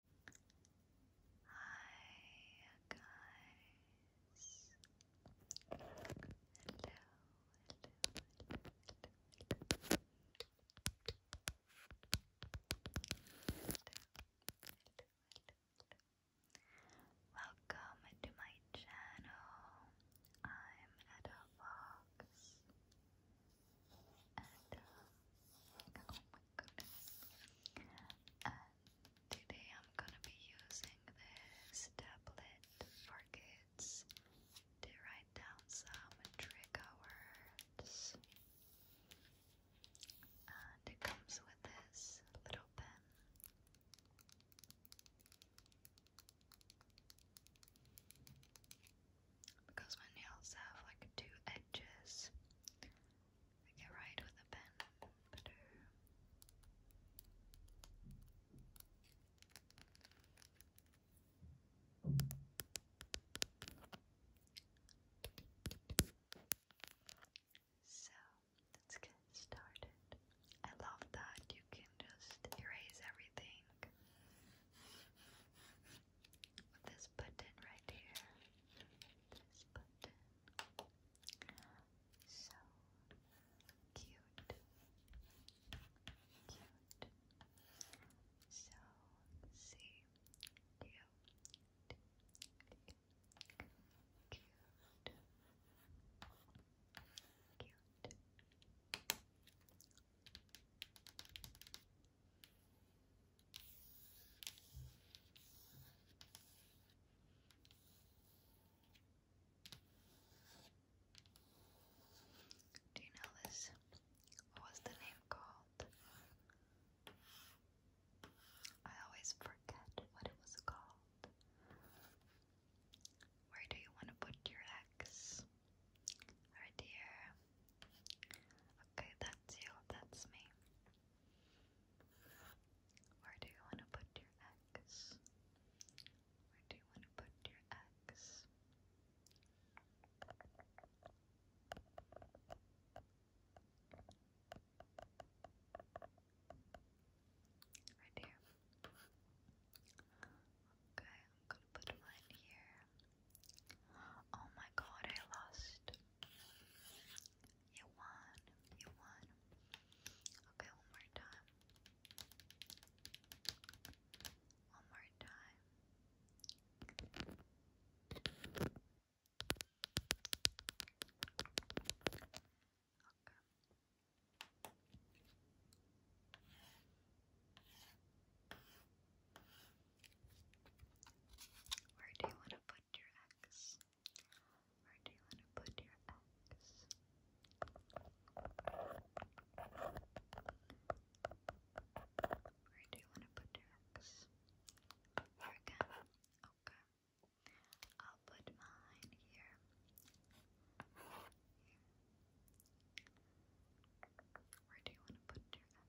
Hi guys. Hello, Welcome to my channel. I'm Ada Fox. Ada, and today I'm gonna be using this tablet for kids to write down some trigger words. And it comes with this little pen. Because my nails have like two edges, I can with a pen So let's get started. I love that you can just erase everything with this button right here. This button. So cute. Cute. So see cute. Cute. Cute. Cute. Do you know this? What was the name called? I always forget what it was called. Where do you want to put your X? Right here. Okay, that's you, that's me. Where do you want to put your X? Where do you want to put your X? Right here. Okay, I'm gonna put mine here. Oh my god, I lost you won. You won. Okay, one more time. One more time. Okay. Where do you want to put your eggs? Where do you want to put your eggs? Where do you want to put your eggs? Here Okay. I'll put mine Here. Where do you want to put your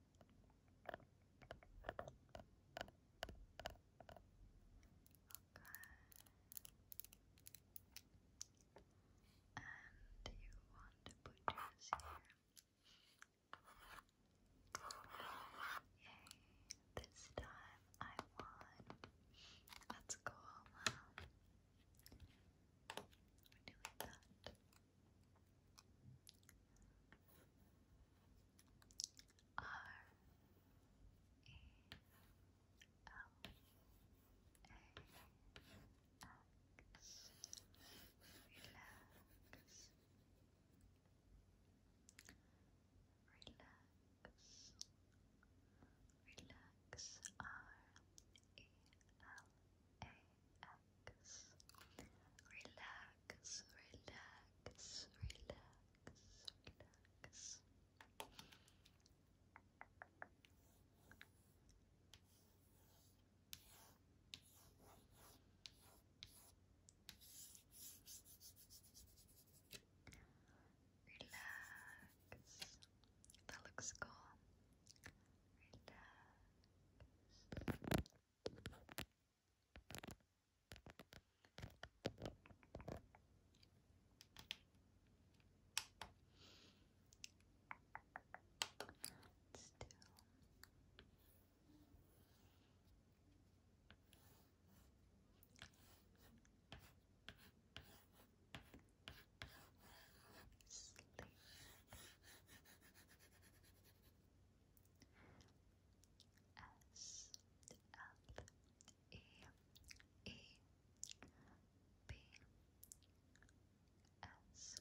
And you want to put yours here. Yay, this time I won. Let's um, do that. R E L A X Relax Relax Relax R E L A relax, relax, relax, relax. Relax. That looks cool. Let's do sleep. S L E E B S L E E B Sleep.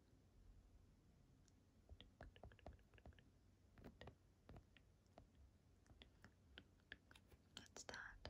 That's that.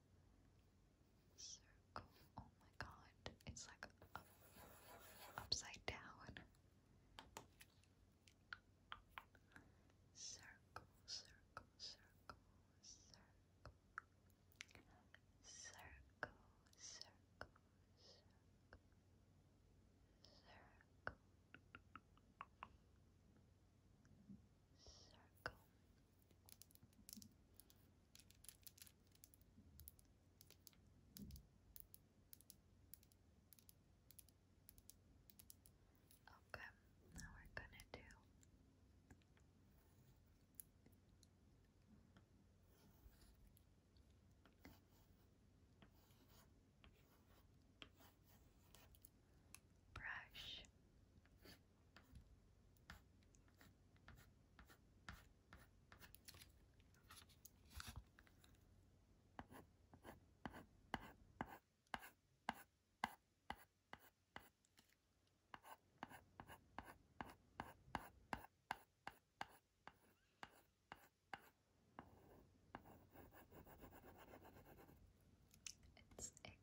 Circle. Oh my god. It's like up, upside down. Circle, circle, circle, circle. Circle, circle, circle. Circle. Circle. Okay, now we're gonna do brush it's a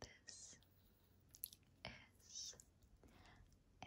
This is a this is a S M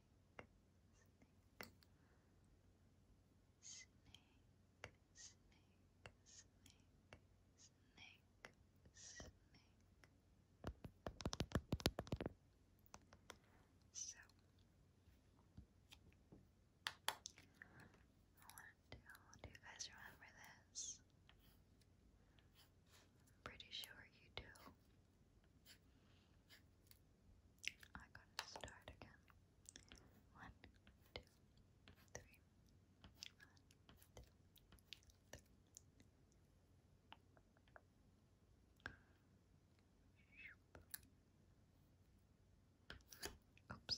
So I want to do you guys remember this? pretty sure you do. I gotta start again. One, two, three. Oops.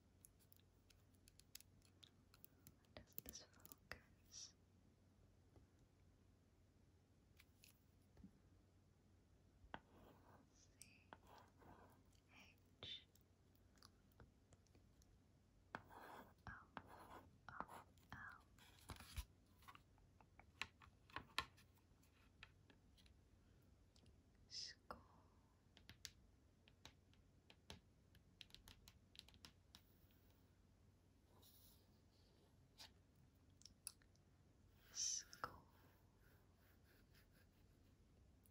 Does this focus? C H O O L. School Skull.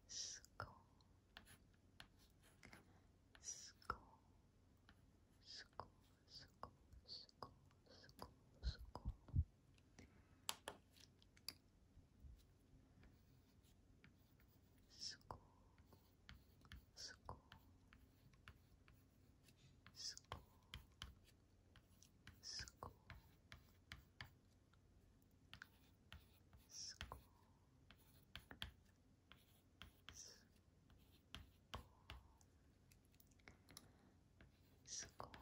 Skull. Skull. Skull. Skull. Skull. Skull. Skull school, school, school, school, school. School,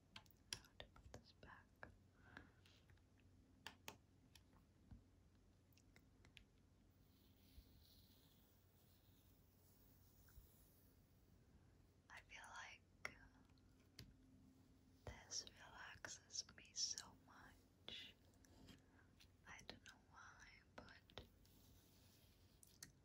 how to put this back. I feel like this relaxes me so much. I don't know why, but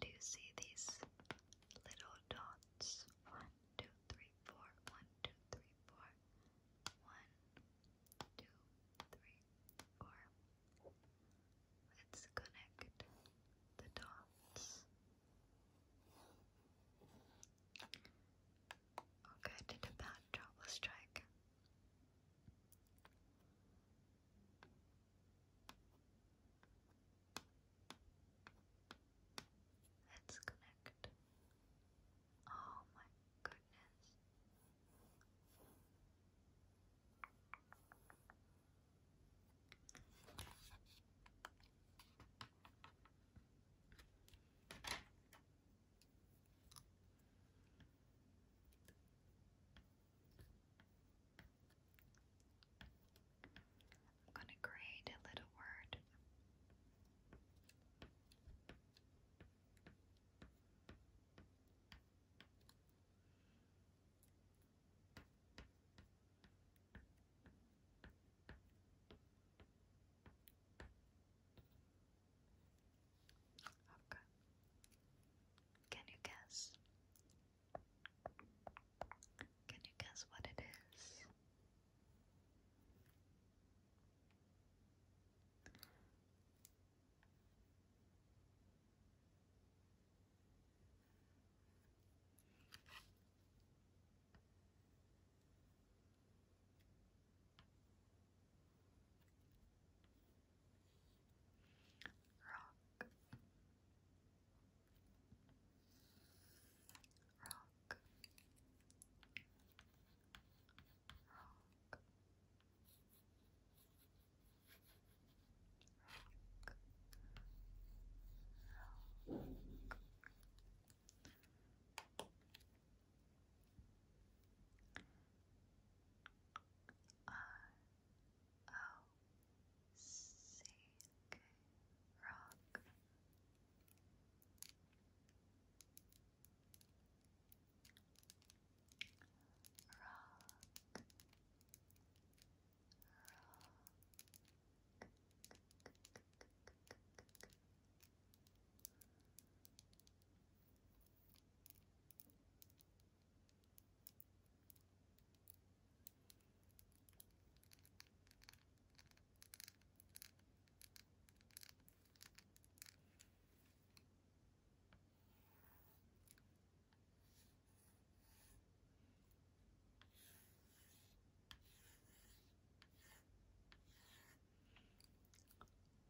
Do you see these little dots? One, two, three, four. One, two, three, four. One, two, three, four. Let's connect the dots. Okay, did a bad job. let Let's connect. Oh my goodness. I'm going to create a little word. Okay. Can you guess? Can you guess what it is? rock rock rock Rock. I O C K rock. Rock, rock,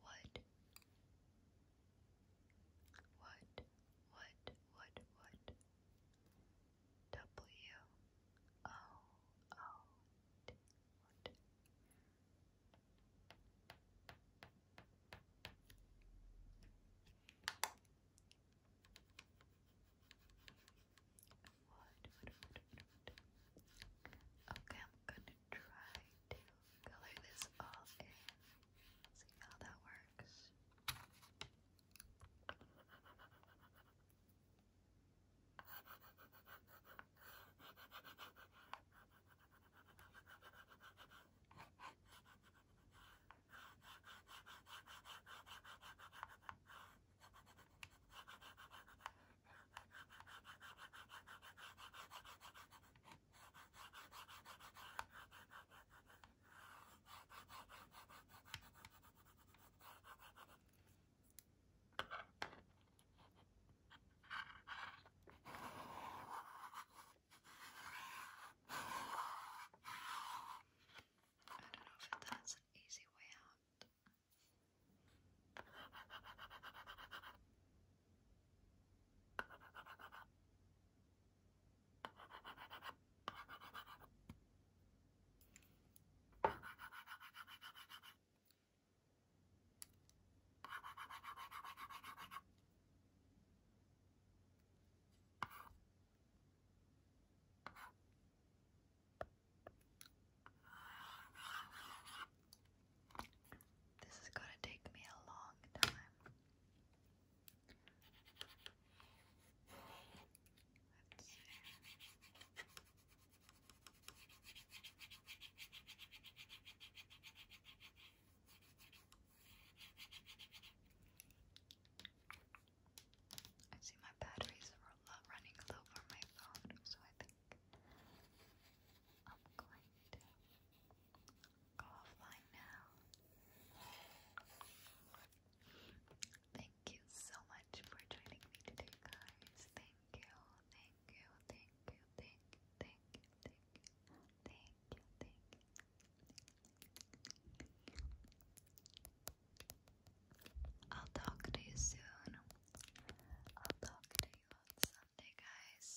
Wood what, what, what, what? W O O T. what? Okay, I'm gonna try to color this all in. See how that works. I don't know if that's an easy way out. This is going to take me a long time. Let's I see my batteries are running low for my phone, so I think I'm going to go offline now. Thank you so much for joining me today, guys. Thank you, thank you, thank you, thank thank thank thank thank I'll talk to you soon. I'll talk to you on Sunday, guys.